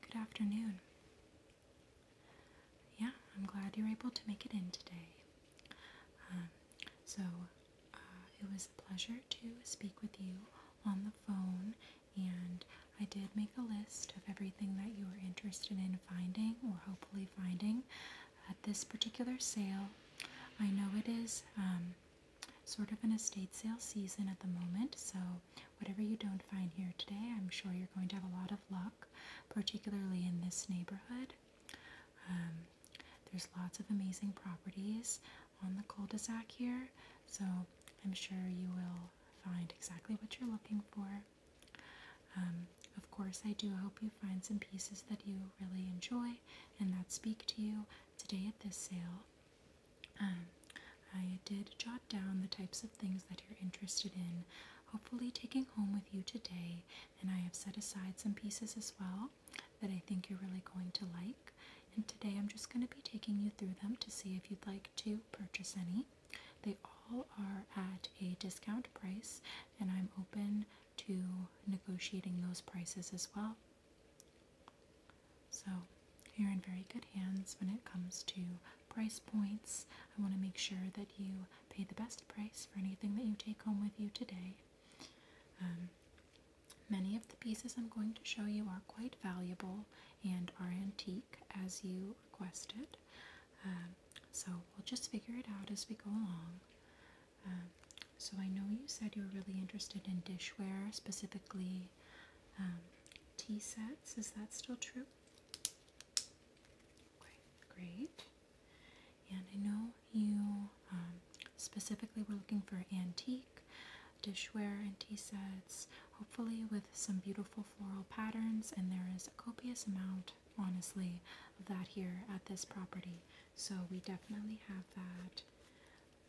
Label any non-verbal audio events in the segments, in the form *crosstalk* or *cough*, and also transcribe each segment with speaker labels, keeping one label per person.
Speaker 1: Good afternoon. Yeah, I'm glad you were able to make it in today. Um, so, uh, it was a pleasure to speak with you on the phone, and I did make a list of everything that you were interested in finding or hopefully finding at this particular sale. I know it is um, sort of an estate sale season at the moment, so whatever you don't find here today, I'm sure you're going to have a lot of luck, particularly in this neighborhood. Um, there's lots of amazing properties on the cul-de-sac here, so I'm sure you will find exactly what you're looking for. Um, of course, I do hope you find some pieces that you really enjoy and that speak to you today at this sale. Um, I did jot down the types of things that you're interested in, hopefully taking home with you today. And I have set aside some pieces as well that I think you're really going to like. And today I'm just going to be taking you through them to see if you'd like to purchase any. They all are at a discount price, and I'm open to negotiating those prices as well. So you're in very good hands when it comes to price points. I want to make sure that you pay the best price for anything that you take home with you today. Um, many of the pieces I'm going to show you are quite valuable and are antique as you requested. Um, so we'll just figure it out as we go along. Um, so I know you said you are really interested in dishware, specifically T um, tea sets. Is that still true? Okay, great. And I know you um, specifically were looking for antique dishware and t sets, hopefully with some beautiful floral patterns. And there is a copious amount, honestly, of that here at this property. So we definitely have that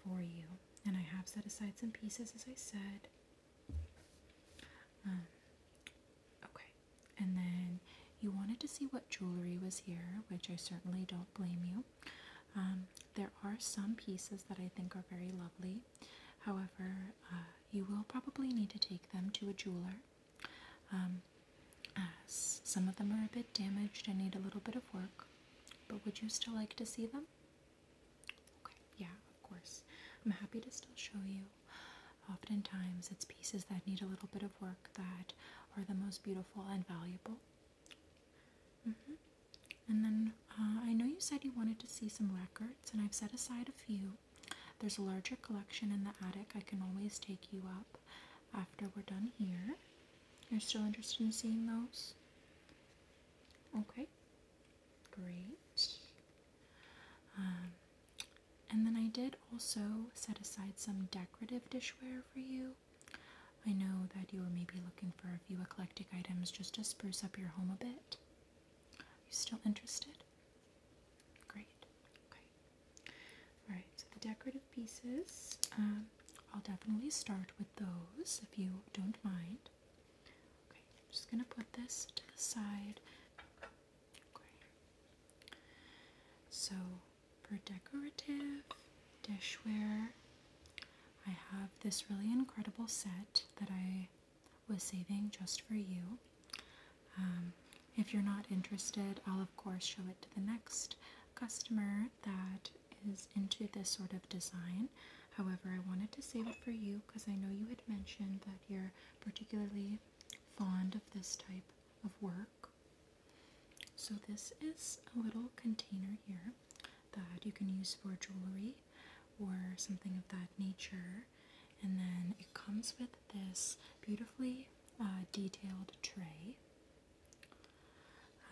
Speaker 1: for you. And I have set aside some pieces, as I said, um, okay, and then you wanted to see what jewelry was here, which I certainly don't blame you. Um, there are some pieces that I think are very lovely. However, uh, you will probably need to take them to a jeweler. Um, as some of them are a bit damaged and need a little bit of work, but would you still like to see them? Okay, yeah, of course. I'm happy to still show you. Oftentimes, it's pieces that need a little bit of work that are the most beautiful and valuable. Mm -hmm. And then uh, I know you said you wanted to see some records, and I've set aside a few. There's a larger collection in the attic. I can always take you up after we're done here. You're still interested in seeing those? Okay, Great. Um, and then I did also set aside some decorative dishware for you. I know that you were maybe looking for a few eclectic items just to spruce up your home a bit. Are you still interested? Great. Okay. Alright, so the decorative pieces, um, I'll definitely start with those if you don't mind. Okay, I'm just gonna put this to the side. Okay. So for decorative dishware, I have this really incredible set that I was saving just for you. Um, if you're not interested, I'll of course show it to the next customer that is into this sort of design. However, I wanted to save it for you because I know you had mentioned that you're particularly fond of this type of work. So, this is a little container here that you can use for jewelry or something of that nature. And then it comes with this beautifully uh, detailed tray.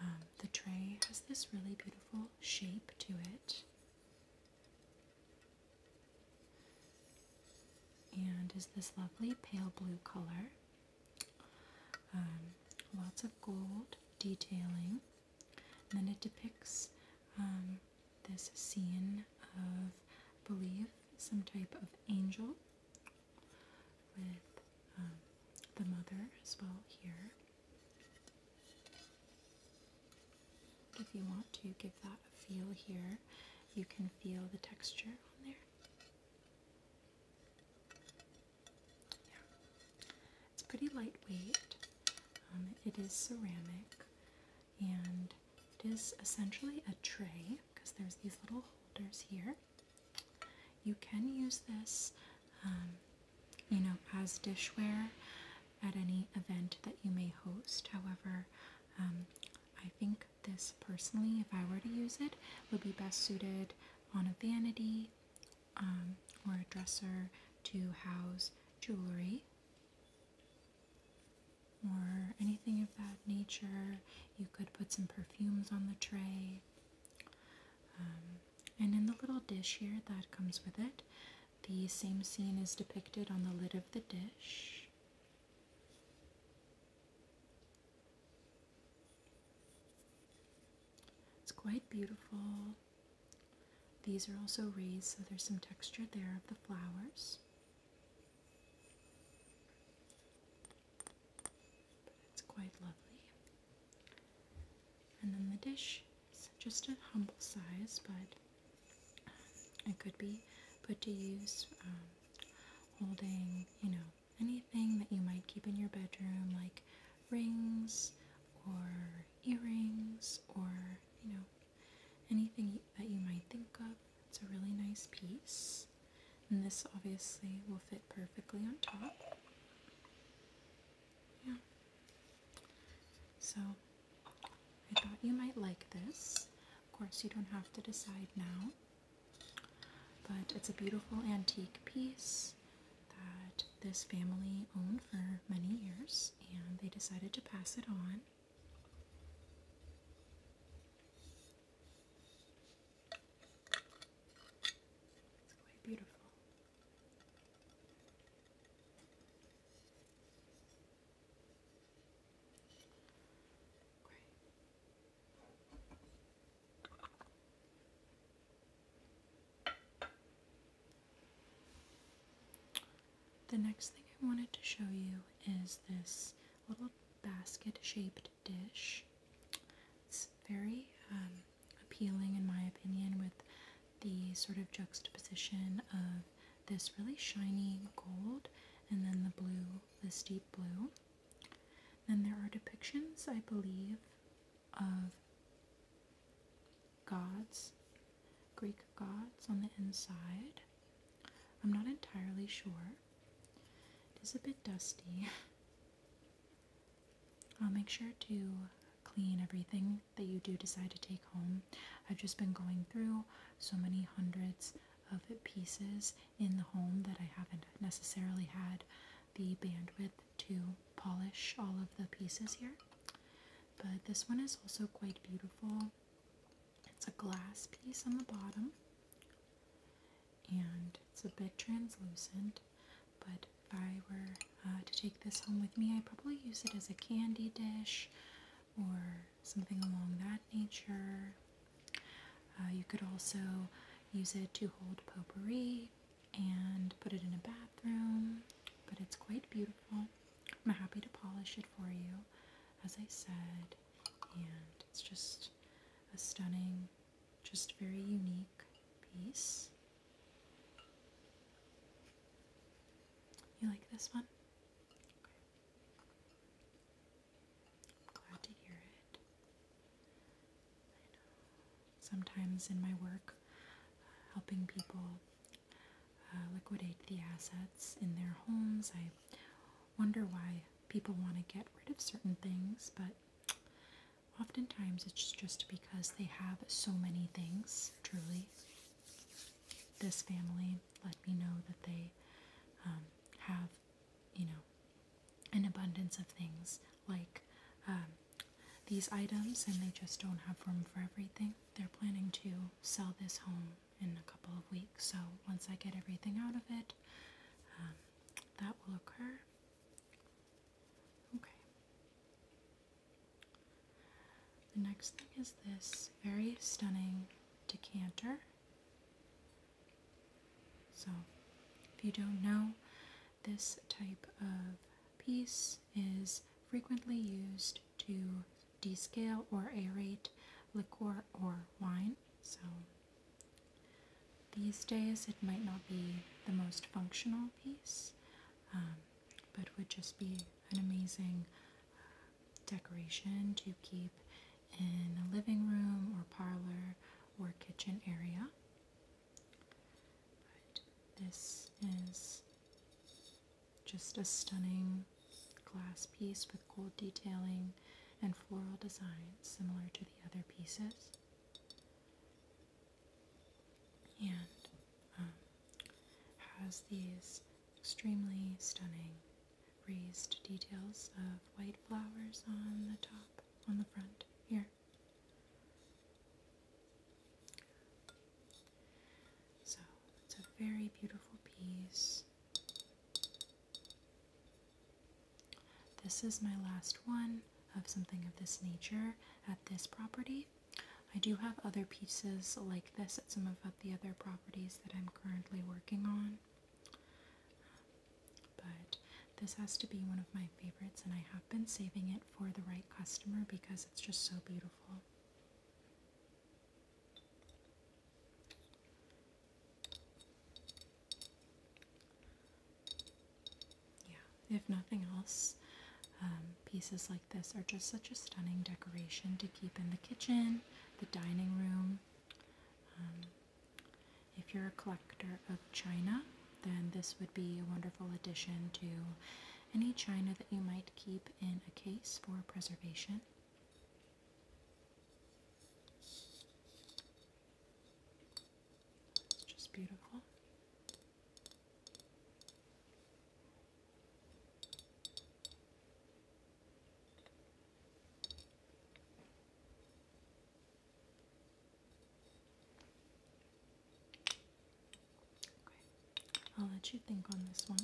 Speaker 1: Um, the tray has this really beautiful shape to it and is this lovely pale blue color. Um, lots of gold detailing. And then it depicts um, this scene of, I believe, some type of angel with um, the mother as well here. If you want to give that a feel here, you can feel the texture on there. Yeah. It's pretty lightweight. Um, it is ceramic and it is essentially a tray because there's these little holders here. You can use this, um, you know, as dishware at any event that you may host. However, um, I think this personally, if I were to use it, would be best suited on a vanity um, or a dresser to house jewelry or anything of that nature. You could put some perfumes on the tray. Um, and in the little dish here that comes with it, the same scene is depicted on the lid of the dish. It's quite beautiful. These are also raised, so there's some texture there of the flowers. it's quite lovely. And then the dish it's just a humble size, but um, it could be put to use um, holding, you know, anything that you might keep in your bedroom, like rings or earrings or, you know, anything that you might think of. It's a really nice piece. And this obviously will fit perfectly on top. Yeah. So I thought you might like this. Of course, you don't have to decide now. But it's a beautiful antique piece that this family owned for many years and they decided to pass it on. It's quite beautiful. The next thing I wanted to show you is this little basket shaped dish. It's very um, appealing, in my opinion, with the sort of juxtaposition of this really shiny gold and then the blue, this deep blue. Then there are depictions, I believe, of gods, Greek gods on the inside. I'm not entirely sure. It is a bit dusty. *laughs* I'll make sure to clean everything that you do decide to take home. I've just been going through so many hundreds of pieces in the home that I haven't necessarily had the bandwidth to polish all of the pieces here. But this one is also quite beautiful. It's a glass piece on the bottom and it's a bit translucent. But if I were uh, to take this home with me, I'd probably use it as a candy dish or something along that nature. Uh, you could also use it to hold potpourri and put it in a bathroom, but it's quite beautiful. I'm happy to polish it for you, as I said, and it's just a stunning, just very unique piece. You like this one? I'm glad to hear it. Sometimes in my work, uh, helping people uh, liquidate the assets in their homes, I wonder why people want to get rid of certain things, but oftentimes it's just because they have so many things, truly this family let me know that they um, have, you know, an abundance of things like um, these items, and they just don't have room for everything. They're planning to sell this home in a couple of weeks, so once I get everything out of it, um, that will occur. Okay. The next thing is this very stunning decanter. So, if you don't know, this type of piece is frequently used to descale or aerate liquor or wine. So, these days it might not be the most functional piece, um, but would just be an amazing uh, decoration to keep in a living room or parlor or kitchen area. this is just a stunning glass piece with gold detailing and floral designs similar to the other pieces. And um, has these extremely stunning. Raised details of white flowers on the top, on the front here. So it's a very beautiful piece. This is my last one of something of this nature at this property. I do have other pieces like this at some of the other properties that I'm currently working on. But this has to be one of my favorites, and I have been saving it for the right customer because it's just so beautiful. Yeah, if nothing else, um, pieces like this are just such a stunning decoration to keep in the kitchen the dining room. Um, if you're a collector of china, then this would be a wonderful addition to any china that you might keep in a case for preservation. It's just beautiful. I'll let you think on this one.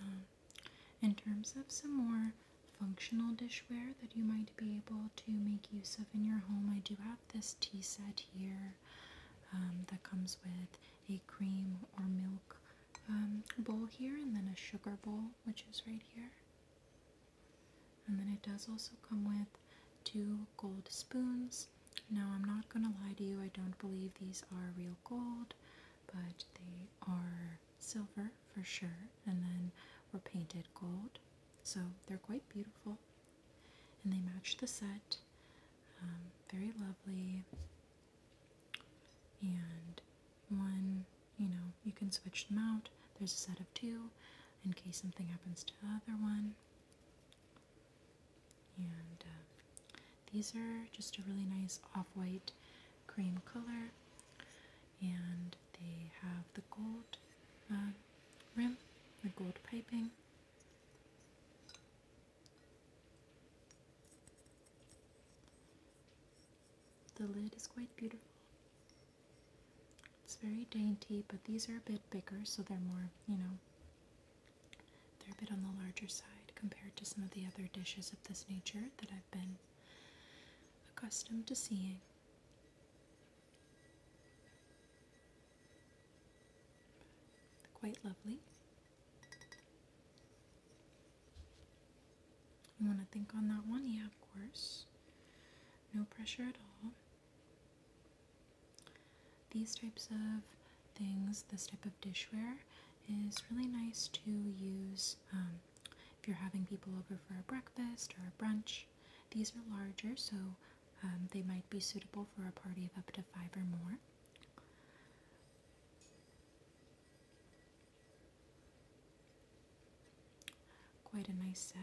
Speaker 1: Um, in terms of some more functional dishware that you might be able to make use of in your home, I do have this tea set here um, that comes with a cream or milk um, bowl here, and then a sugar bowl, which is right here. And then it does also come with two gold spoons. Now, I'm not going to lie to you, I don't believe these are real gold, but they are silver for sure, and then were painted gold. So they're quite beautiful and they match the set. Um, very lovely. And one, you know, you can switch them out. There's a set of two in case something happens to the other one. And uh, these are just a really nice off white cream color. And they have the gold uh, rim, the gold piping. The lid is quite beautiful. It's very dainty, but these are a bit bigger, so they're more, you know, they're a bit on the larger side compared to some of the other dishes of this nature that I've been accustomed to seeing. Quite lovely. You want to think on that one? Yeah, of course. No pressure at all. These types of things, this type of dishware, is really nice to use um, if you're having people over for a breakfast or a brunch. These are larger, so um, they might be suitable for a party of up to five or more. Quite a nice set.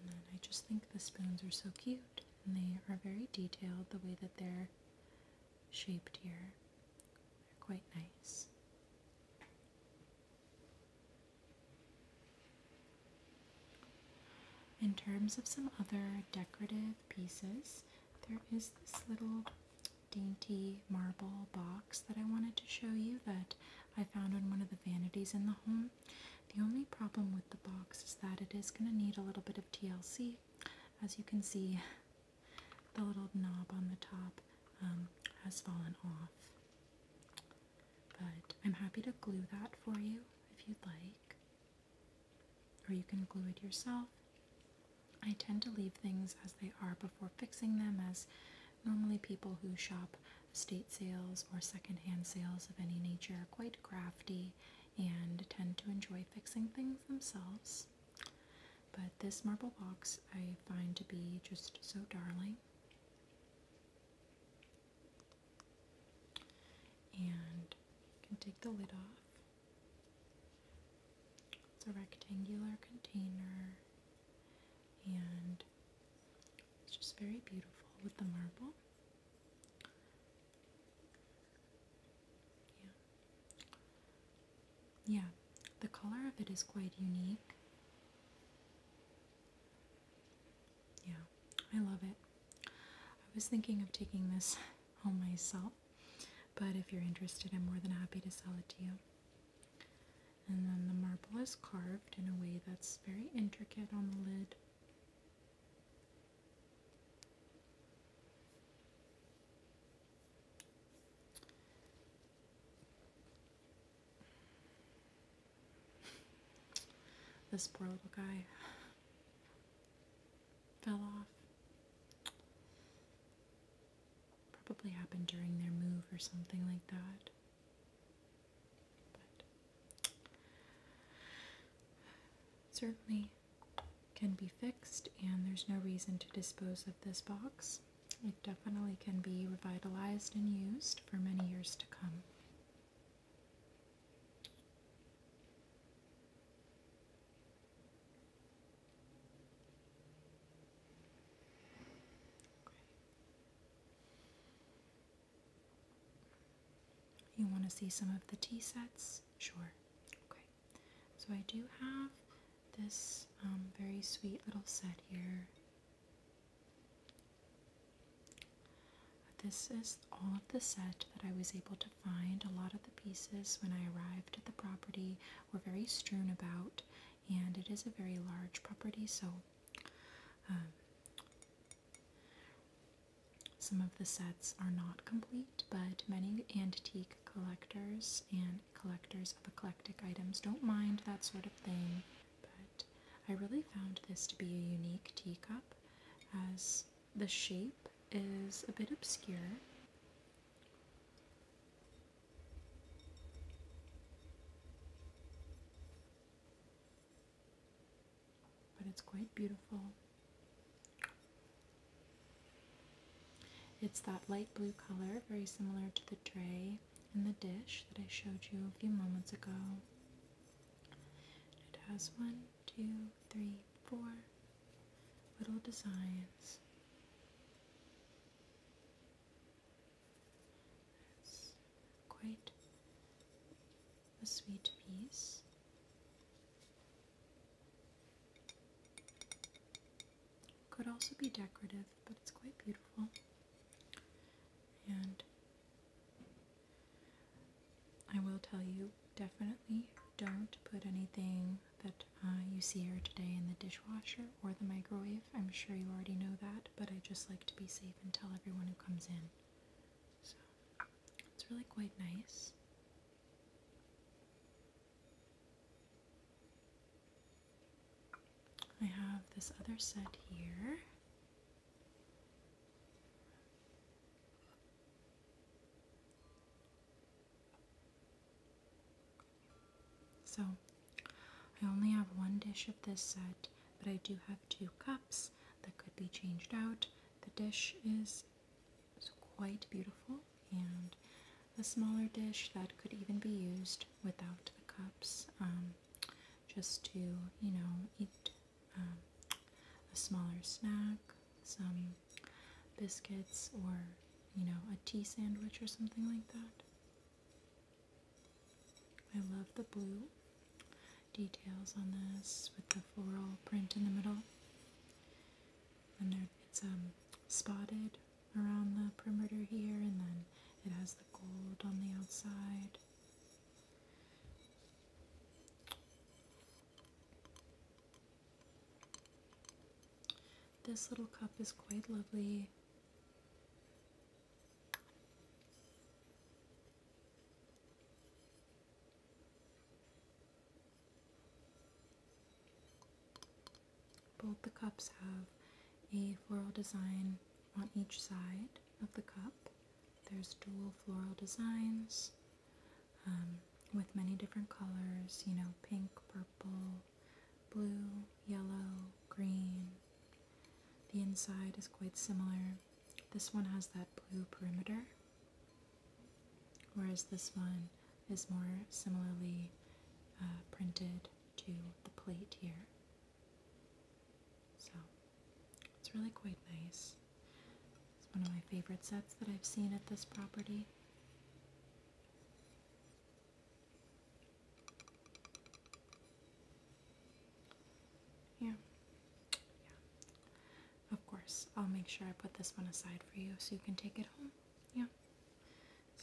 Speaker 1: And then I just think the spoons are so cute and they are very detailed the way that they're shaped here. They're quite nice. In terms of some other decorative pieces, there is this little dainty marble box that I wanted to show you that I found on one of the vanities in the home. The only problem with the box is that it is going to need a little bit of TLC as you can see, the little knob on the top um, has fallen off. But I'm happy to glue that for you if you'd like, or you can glue it yourself. I tend to leave things as they are before fixing them, as normally people who shop estate sales or secondhand sales of any nature are quite crafty and tend to enjoy fixing things themselves. But this marble box I find to be just so darling. And you can take the lid off. It's a rectangular container and it's just very beautiful with the marble. Yeah. the color of it is quite unique. Yeah, I love it. I was thinking of taking this *laughs* home myself, but if you're interested, I'm more than happy to sell it to you. And then the marble is carved in a way that's very intricate on the lid. This poor little guy fell off. Probably happened during their move or something like that. But certainly can be fixed, and there's no reason to dispose of this box. It definitely can be revitalized and used for many years to come. You want to see some of the tea sets? Sure. Okay. So I do have this um, very sweet little set here. This is all of the set that I was able to find. A lot of the pieces when I arrived at the property were very strewn about, and it is a very large property, so um, some of the sets are not complete, but many antique collectors and collectors of eclectic items don't mind that sort of thing. But I really found this to be a unique teacup as the shape is a bit obscure. But it's quite beautiful. It's that light blue color, very similar to the tray and the dish that I showed you a few moments ago. It has one, two, three, four little designs. It's quite a sweet piece. Could also be decorative, but it's quite beautiful. And I will tell you definitely don't put anything that uh, you see here today in the dishwasher or the microwave. I'm sure you already know that, but I just like to be safe and tell everyone who comes in. So it's really quite nice. I have this other set here. So I only have one dish of this set, but I do have two cups that could be changed out. The dish is so quite beautiful, and a smaller dish that could even be used without the cups, um, just to, you know, eat um, a smaller snack, some biscuits, or, you know, a tea sandwich or something like that. I love the blue details on this with the floral print in the middle and it's um, spotted around the perimeter here, and then it has the gold on the outside. This little cup is quite lovely. Both the cups have a floral design on each side of the cup. There's dual floral designs um, with many different colors, you know, pink, purple, blue, yellow, green. The inside is quite similar. This one has that blue perimeter Whereas this one is more similarly uh, printed to the plate here. So it's really quite nice. It's one of my favorite sets that I've seen at this property. Yeah. Yeah. Of course, I'll make sure I put this one aside for you so you can take it home. Yeah,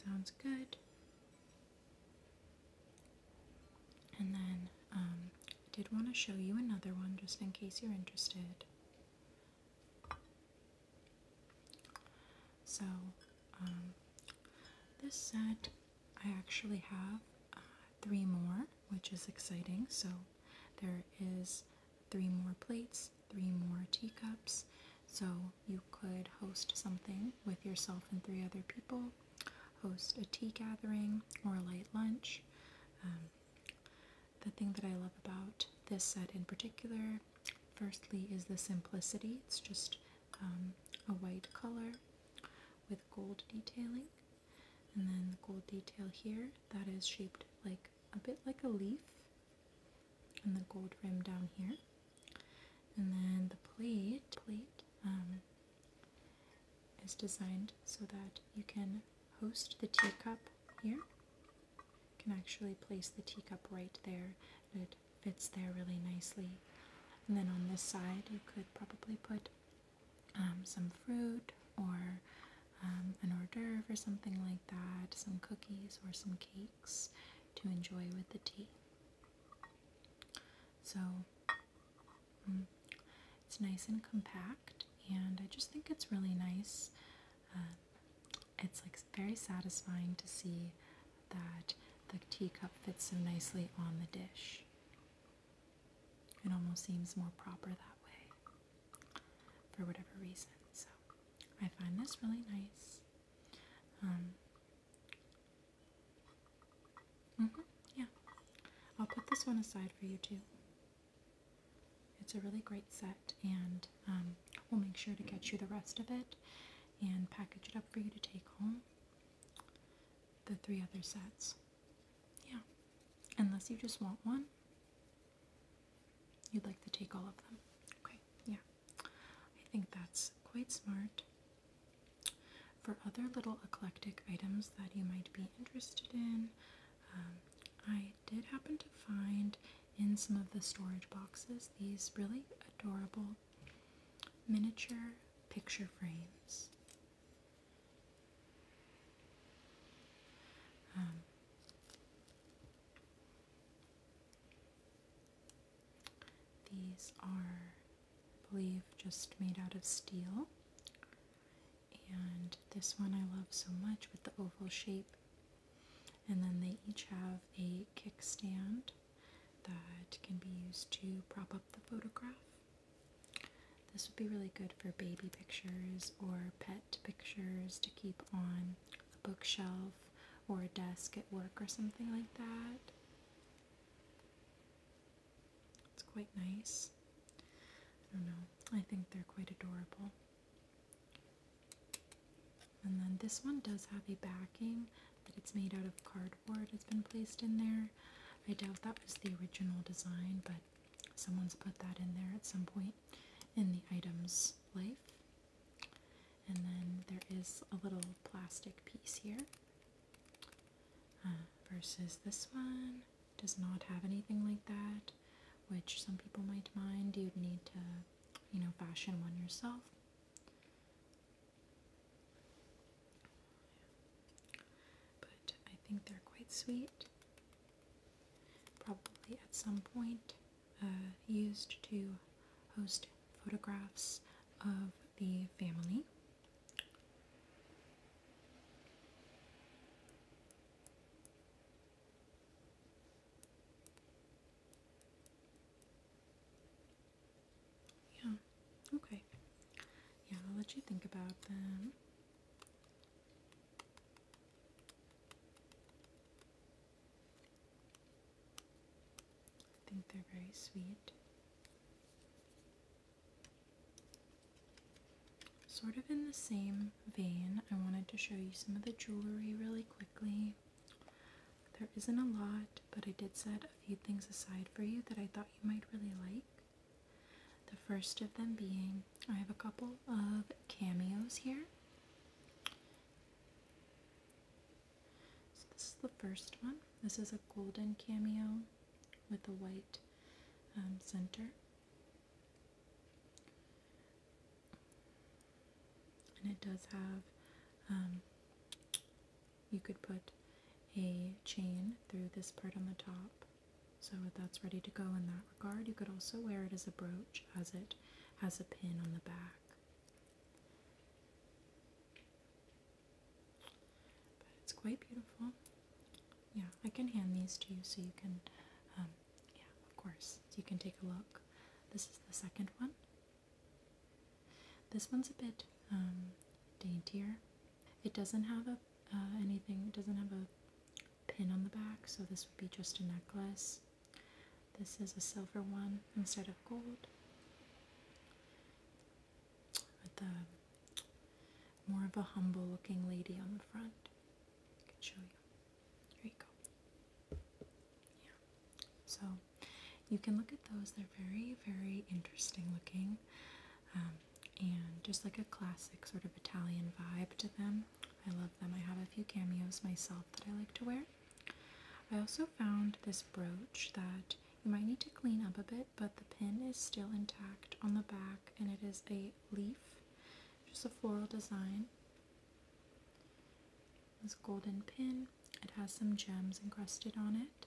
Speaker 1: sounds good. And then um, I did want to show you another one just in case you're interested. So, um, this set I actually have uh, three more, which is exciting. So, there is three more plates, three more teacups. So you could host something with yourself and three other people, host a tea gathering or a light lunch. Um, the thing that I love about this set in particular, firstly, is the simplicity. It's just um, a white color with gold detailing. And then the gold detail here that is shaped like a bit like a leaf and the gold rim down here and then the plate plate um, is designed so that you can host the teacup here you can actually place the teacup right there and it fits there really nicely and then on this side you could probably put um, some fruit or um, an hors d'oeuvre or something like that some cookies or some cake to enjoy with the tea. So mm, it's nice and compact, and I just think it's really nice. Uh, it's like very satisfying to see that the teacup fits so nicely on the dish. It almost seems more proper that way for whatever reason. So I find this really nice. Um, mm-hmm, yeah. I'll put this one aside for you too. It's a really great set, and um, we'll make sure to get you the rest of it and package it up for you to take home. The three other sets. Yeah. Unless you just want one, You'd like to take all of them. Okay, yeah. I think that's quite smart. For other little eclectic items that you might be interested in, um, I did happen to find in some of the storage boxes these really adorable miniature picture frames. Um, these are, I believe, just made out of steel. And this one I love so much with the oval shape. And then they each have a kickstand that can be used to prop up the photograph. This would be really good for baby pictures or pet pictures to keep on a bookshelf or a desk at work or something like that. It's quite nice. I don't know. I think they're quite adorable. And then this one does have a backing, but it's made out of cardboard. It's been placed in there. I doubt that was the original design, but someone's put that in there at some point in the item's life. And then there is a little plastic piece here. Uh, versus this one does not have anything like that, which some people might mind. You'd need to, you know, fashion one yourself. But I think they're quite sweet. Probably at some point uh, used to host photographs of the family. Yeah, okay. Yeah, I'll let you think about them. I think they're very sweet. Sort of in the same vein, I wanted to show you some of the jewelry really quickly. There isn't a lot, but I did set a few things aside for you that I thought you might really like. The first of them being, I have a couple of cameos here. So this is the first one. This is a golden cameo with a white um, center. And it does have, um, you could put a chain through this part on the top. So that's ready to go in that regard. You could also wear it as a brooch as it has a pin on the back it's quite beautiful. Yeah, I can hand these to you so you can, um, yeah, of course, you can take a look. This is the second one. This one's a bit um, daintier. It doesn't have a uh, anything. It doesn't have a pin on the back, so this would be just a necklace. This is a silver one instead of gold with a more of a humble looking lady on the front. I can show you. Here you go. Yeah. So you can look at those. They're very, very interesting looking. Um, and just like a classic sort of Italian vibe to them. I love them. I have a few cameos myself that I like to wear. I also found this brooch that you might need to clean up a bit, but the pin is still intact on the back and it is a leaf, just a floral design. This golden pin, it has some gems encrusted on it.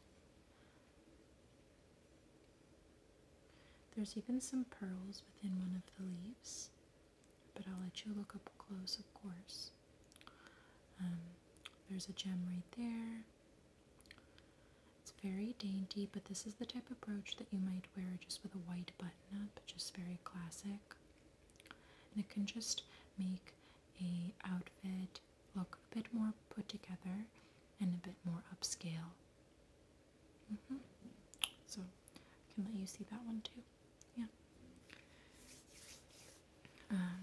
Speaker 1: There's even some pearls within one of the leaves but I'll let you look up close, of course. Um, there's a gem right there. It's very dainty, but this is the type of brooch that you might wear just with a white button up, just very classic. And it can just make a outfit look a bit more put together and a bit more upscale. Mm-hmm. So I can let you see that one too yeah. Um,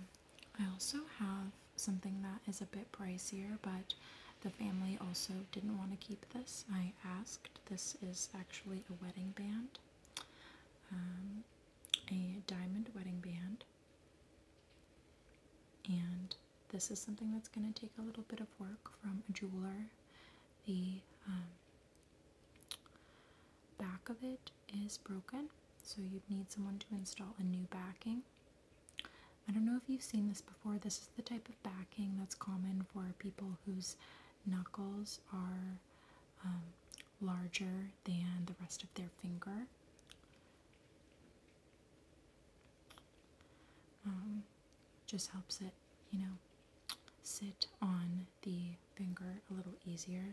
Speaker 1: I also have something that is a bit pricier, but the family also didn't want to keep this. I asked. This is actually a wedding band, um, a diamond wedding band. And this is something that's going to take a little bit of work from a jeweler. The um, back of it is broken so you'd need someone to install a new backing i don't know if you've seen this before this is the type of backing that's common for people whose knuckles are um, larger than the rest of their finger um, just helps it you know sit on the finger a little easier.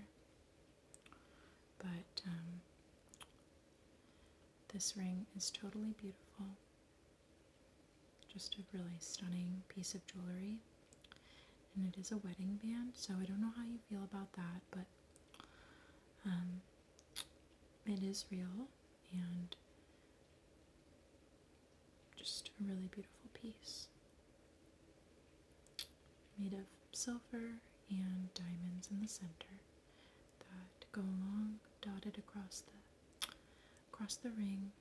Speaker 1: But um, this ring is totally beautiful. Just a really stunning piece of jewelry. And it is a wedding band, so I don't know how you feel about that, but um, it is real and just a really beautiful piece made of silver and diamonds in the center that go along, dotted across the across the ring.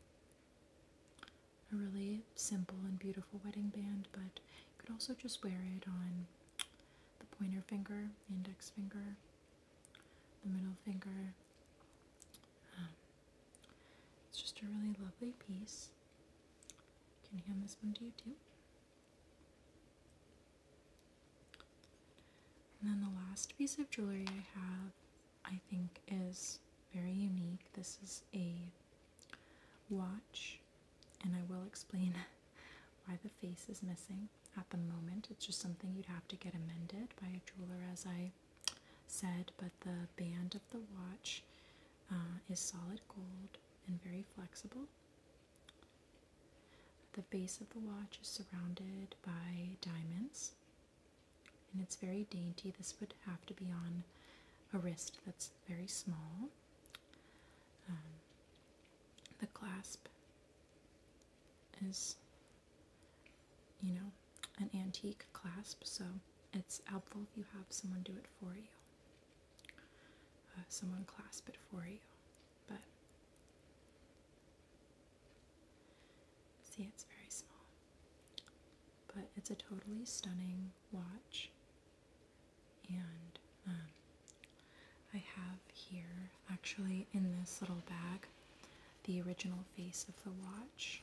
Speaker 1: A really simple and beautiful wedding band, but you could also just wear it on the pointer finger, the index finger, the middle finger. Um, it's just a really lovely piece. Can you hand this one to you too? And then the last piece of jewelry I have, I think, is very unique. This is a watch, and I will explain *laughs* why the face is missing at the moment. It's just something you'd have to get amended by a jeweler, as I said, but the band of the watch uh, is solid gold and very flexible. The face of the watch is surrounded by diamonds and it's very dainty. This would have to be on a wrist that's very small. Um, the clasp is, you know, an antique clasp, so it's helpful if you have someone do it for you. Uh, someone clasp it for you. But see, it's very small. But it's a totally stunning watch, and um, I have here actually in this little bag the original face of the watch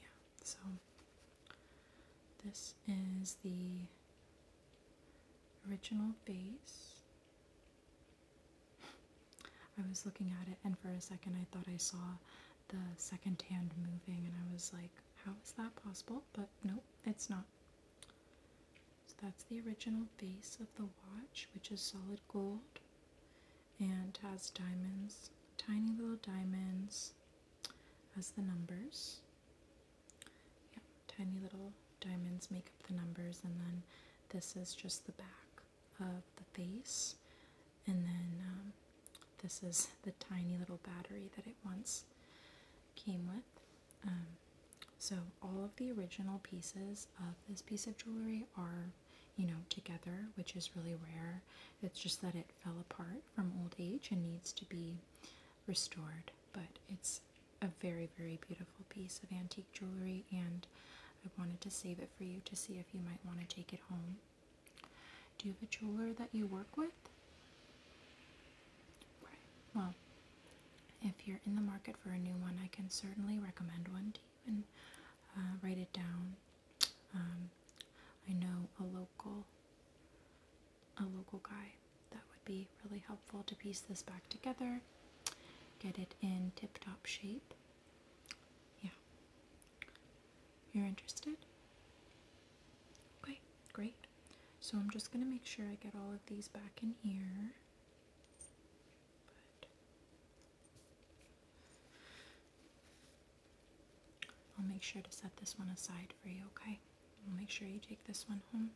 Speaker 1: yeah, so this is the original base. I was looking at it, and for a second, I thought I saw the second hand moving, and I was like, how is that possible? But no, it's not. So that's the original face of the watch, which is solid gold and has diamonds, tiny little diamonds as the numbers. Yeah, tiny little diamonds make up the numbers, and then this is just the back of the face, and then um, this is the tiny little battery that it once came with. Um, so all of the original pieces of this piece of jewelry are, you know, together, which is really rare. It's just that it fell apart from old age and needs to be restored. But it's a very, very beautiful piece of antique jewelry, and I wanted to save it for you to see if you might want to take it home. Do you have a jeweler that you work with? Well, if you're in the market for a new one, I can certainly recommend one to you and uh, write it down. Um, I know a local, a local guy that would be really helpful to piece this back together, get it in tip-top shape. Yeah. You're interested? Okay, great. So I'm just going to make sure I get all of these back in here. I'll make sure to set this one aside for you, okay? I'll make sure you take this one home.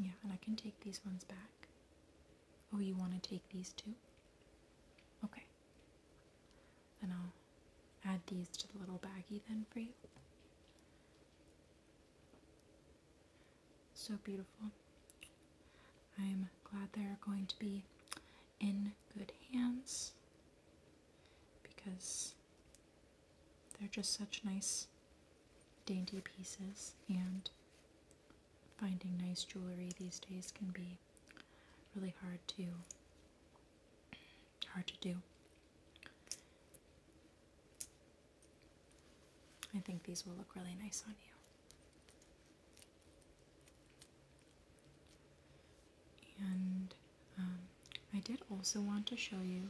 Speaker 1: Yeah, and I can take these ones back. Oh, you want to take these too? Okay. And I'll add these to the little baggie then for you. So beautiful. I'm glad they're going to be in good hands because they're just such nice dainty pieces and finding nice jewelry these days can be really, hard to hard to do. I think these will look really nice on you. And um, I did also want to show you,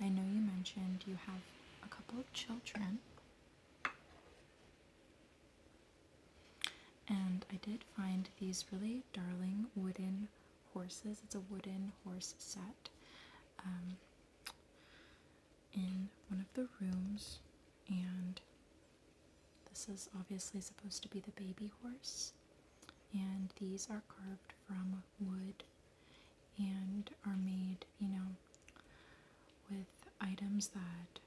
Speaker 1: I know you mentioned you have a couple of children. And I did find these really darling wooden horses. It's a wooden horse set um, in one of the rooms. And this is obviously supposed to be the baby horse. And these are carved from wood and are made, you know, with items that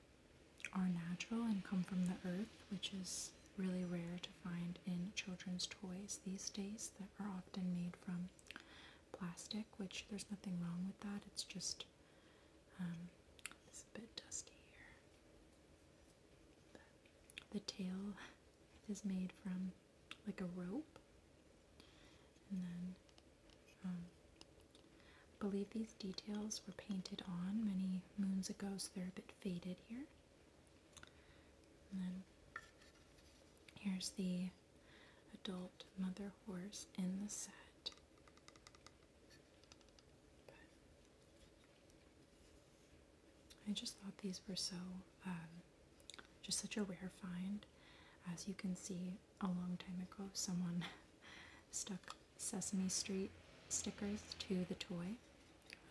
Speaker 1: are natural and come from the earth, which is really rare to find in children's toys these days that are often made from plastic, which there's nothing wrong with that. It's just, um, a bit dusty here. the tail is made from like a rope. And then, um, believe these details were painted on many moons ago, so they're a bit faded here. And then here's the adult mother horse in the set. I just thought these were so, um, just such a rare find. As you can see, a long time ago, someone *laughs* stuck Sesame Street stickers to the toy.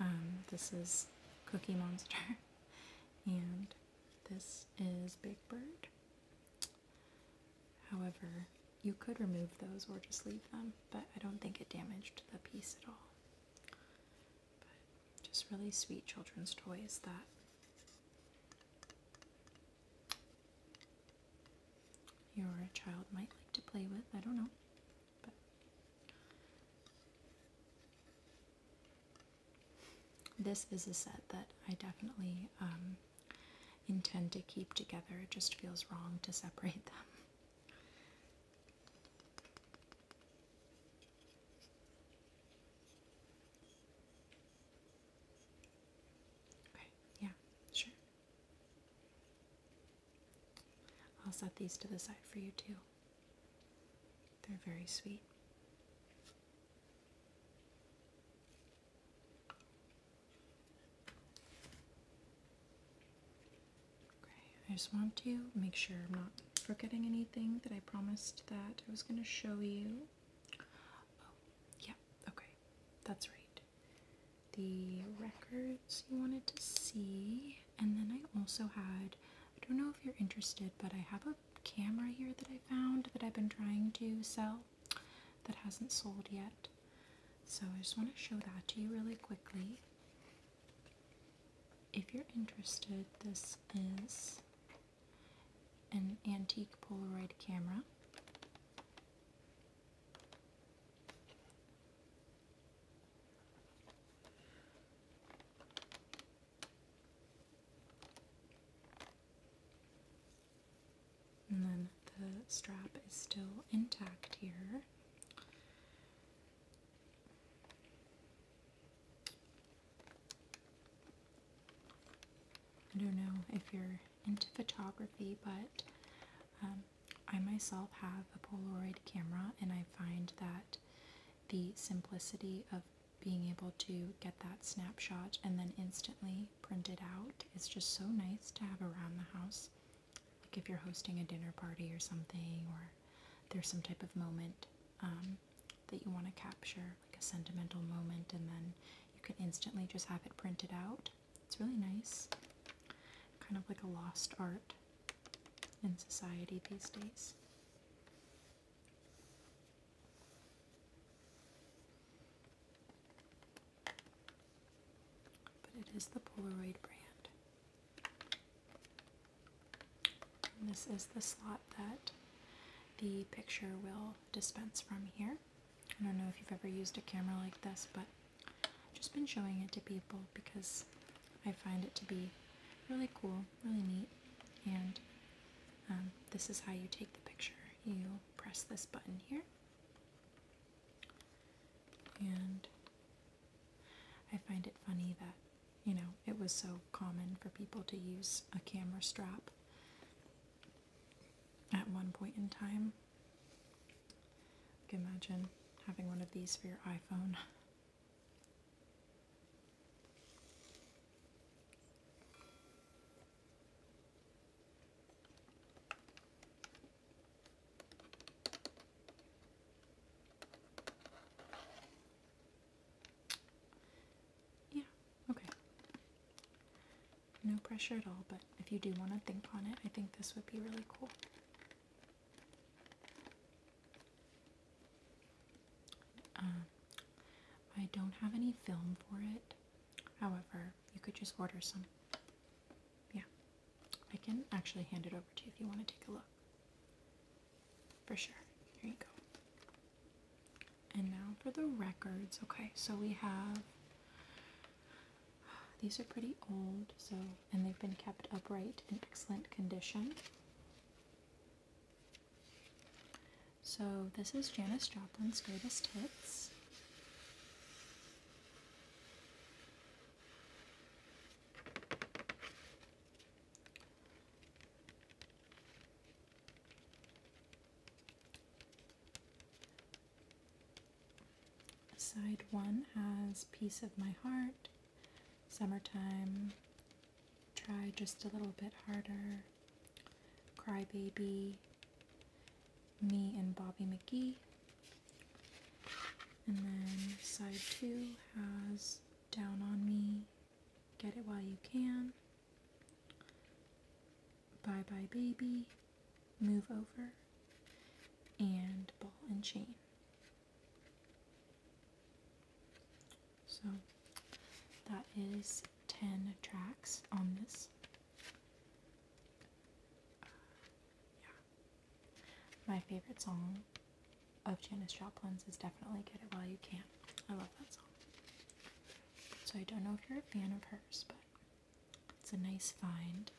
Speaker 1: Um, this is Cookie Monster, *laughs* and this is Big Bird. However, you could remove those or just leave them, but I don't think it damaged the piece at all. just really sweet children's toys that your child might like to play with. I don't know this is a set that I definitely um, intend to keep together. It just feels wrong to separate them. Okay, yeah, sure. I'll set these to the side for you too. They're very sweet. Okay, I just want to make sure I'm not forgetting anything that I promised that I was going to show you. Oh, yeah, okay, that's right the records you wanted to see, and then I also had I don't know if you're interested, but I have a camera here that I found that I've been trying to sell that hasn't sold yet. So I just want to show that to you really quickly. If you're interested, this is an antique Polaroid camera. And then the strap is still intact here. I don't know if you're into photography, but um, I myself have a Polaroid camera, and I find that the simplicity of being able to get that snapshot and then instantly print it out is just so nice to have around the house. Like if you're hosting a dinner party or something, or there's some type of moment um, that you want to capture, like a sentimental moment, and then you can instantly just have it printed out. It's really nice. Kind of like a lost art in society these days. But it is the Polaroid brand. this is the slot that the picture will dispense from here. I don't know if you've ever used a camera like this, but I've just been showing it to people because I find it to be really cool, really neat, and um, this is how you take the picture. You press this button here, and I find it funny that, you know, it was so common for people to use a camera strap at one point in time can imagine having one of these for your iPhone. Yeah, okay. No pressure at all, but if you do want to think on it, I think this would be really cool. Um, I don't have any film for it. However, you could just order some. Yeah. I can actually hand it over to you if you want to take a look. For sure. Here you go. And now for the records. Okay, so we have. These are pretty old, so and they've been kept upright in excellent condition. So, this is Janis Joplin's greatest hits. Side one has Piece of My Heart, Summertime. Try just a little bit harder. Crybaby. Me and Bobby McGee. And then side two has Down on Me. Get it while you can. Bye bye baby. Move over. And ball and chain. So that is 10 tracks on this. yeah. My favorite song of Janis Joplin's is definitely Get It While You Can. I love that song. So I don't know if you're a fan of hers, but it's a nice find.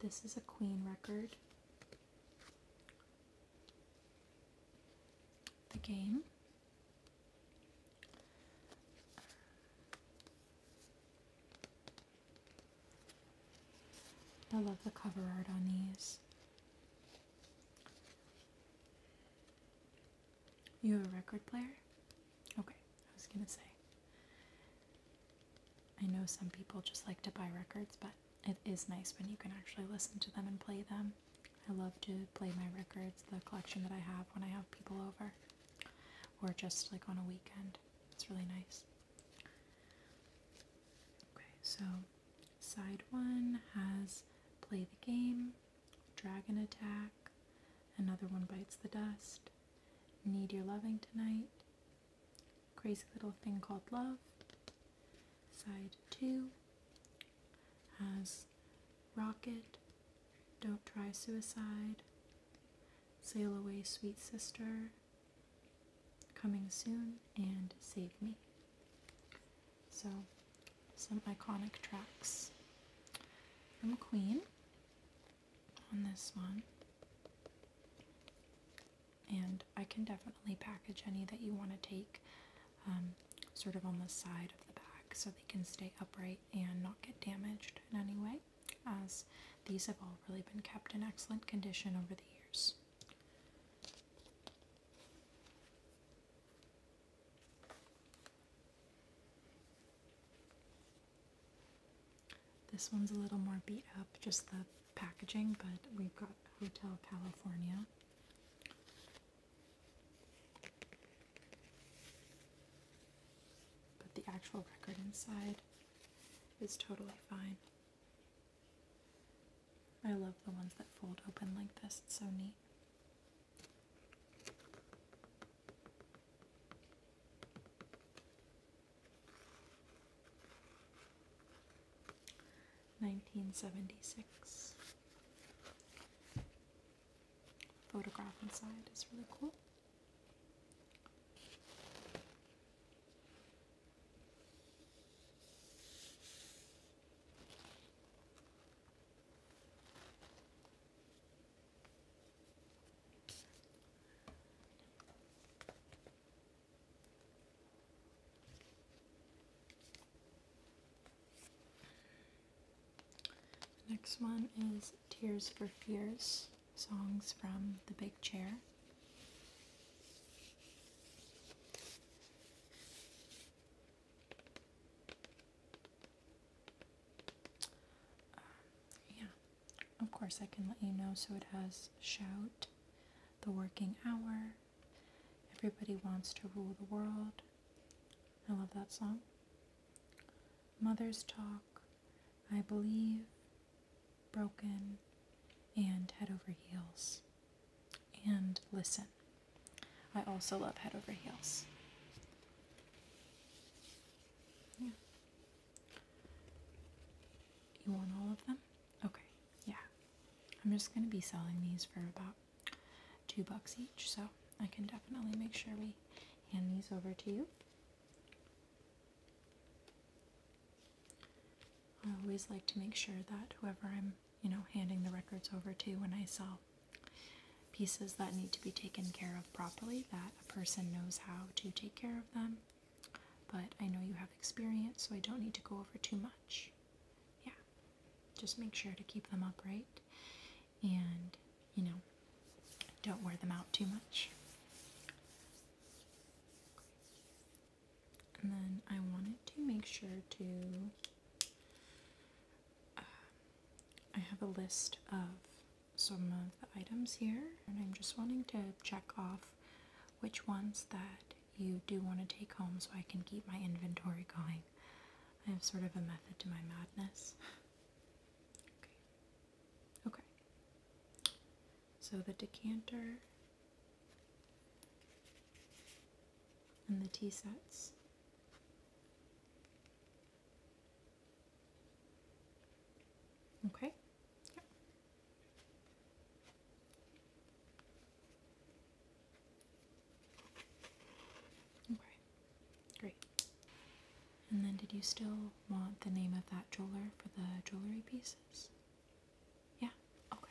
Speaker 1: This is a Queen record. The game. I love the cover art on these. You have a record player? Okay, I was gonna say. I know some people just like to buy records, but it is nice when you can actually listen to them and play them. I love to play my records, the collection that I have when I have people over, or just like on a weekend. It's really nice. Okay, so side one has play the game, Dragon Attack, Another One Bites the Dust, Need Your Loving Tonight, Crazy Little Thing Called Love. Side 2 has Rocket, Don't Try Suicide, Sail Away Sweet Sister, Coming Soon, and Save Me. So, some iconic tracks from Queen on this one. And I can definitely package any that you want to take um, sort of on the side of the bag, so they can stay upright and not get damaged in any way, as these have all really been kept in excellent condition over the years. This one's a little more beat up, just the packaging, but we've got Hotel California. But the actual record inside is totally fine. I love the ones that fold open like this, it's so neat. 1976. Photograph inside is really cool. The next one is Tears for Fears, songs from The Big Chair. Um, yeah, of course I can let you know. So it has shout, the working hour, everybody wants to rule the world. I love that song. Mother's Talk, I Believe, Broken, and Head Over Heels. And Listen. I also love Head Over Heels. You want all of them? Okay, yeah. I'm just going to be selling these for about two bucks each, so I can definitely make sure we hand these over to you. I always like to make sure that whoever I'm you know, handing the records over to when I saw pieces that need to be taken care of properly, that a person knows how to take care of them. But I know you have experience, so I don't need to go over too much. Yeah, just make sure to keep them upright and, you know, don't wear them out too much. And then I wanted to make sure to uh, I have a list of some of the items here, and I'm just wanting to check off which ones that you do want to take home so I can keep my inventory going. I have sort of a method to my madness. okay. Okay. So the decanter and the tea sets. Okay. Okay. Great. And then did you still want the name of that jeweler for the jewelry pieces? Yeah? Okay.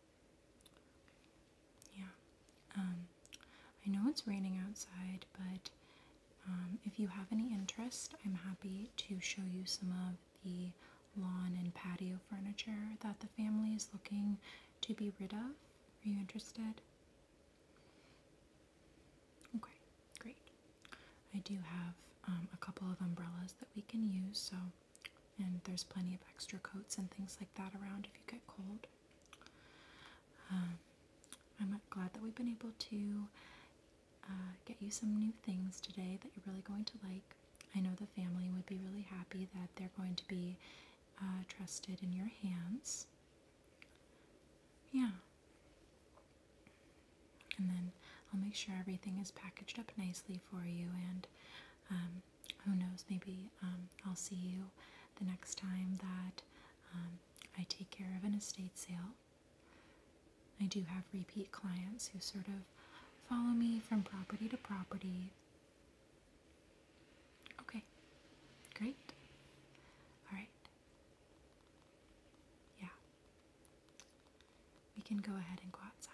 Speaker 1: Yeah. Um, I know it's raining outside, but um, if you have any interest, I'm happy to show you some of the lawn and patio furniture that the family is looking to be rid of. Are you interested? Okay, great. I do have um, a couple of umbrellas that we can use, so and there's plenty of extra coats and things like that around if you get cold. Um, I'm glad that we've been able to uh, get you some new things today that you're really going to like. I know the family would be really happy that they're going to be uh, trusted in your hands. Yeah. And then I'll make sure everything is packaged up nicely for you, and um, who knows, maybe um, I'll see you the next time that um, I take care of an estate sale. I do have repeat clients who sort of follow me from property to property. Okay, great. All right. Yeah. We can go ahead and go outside.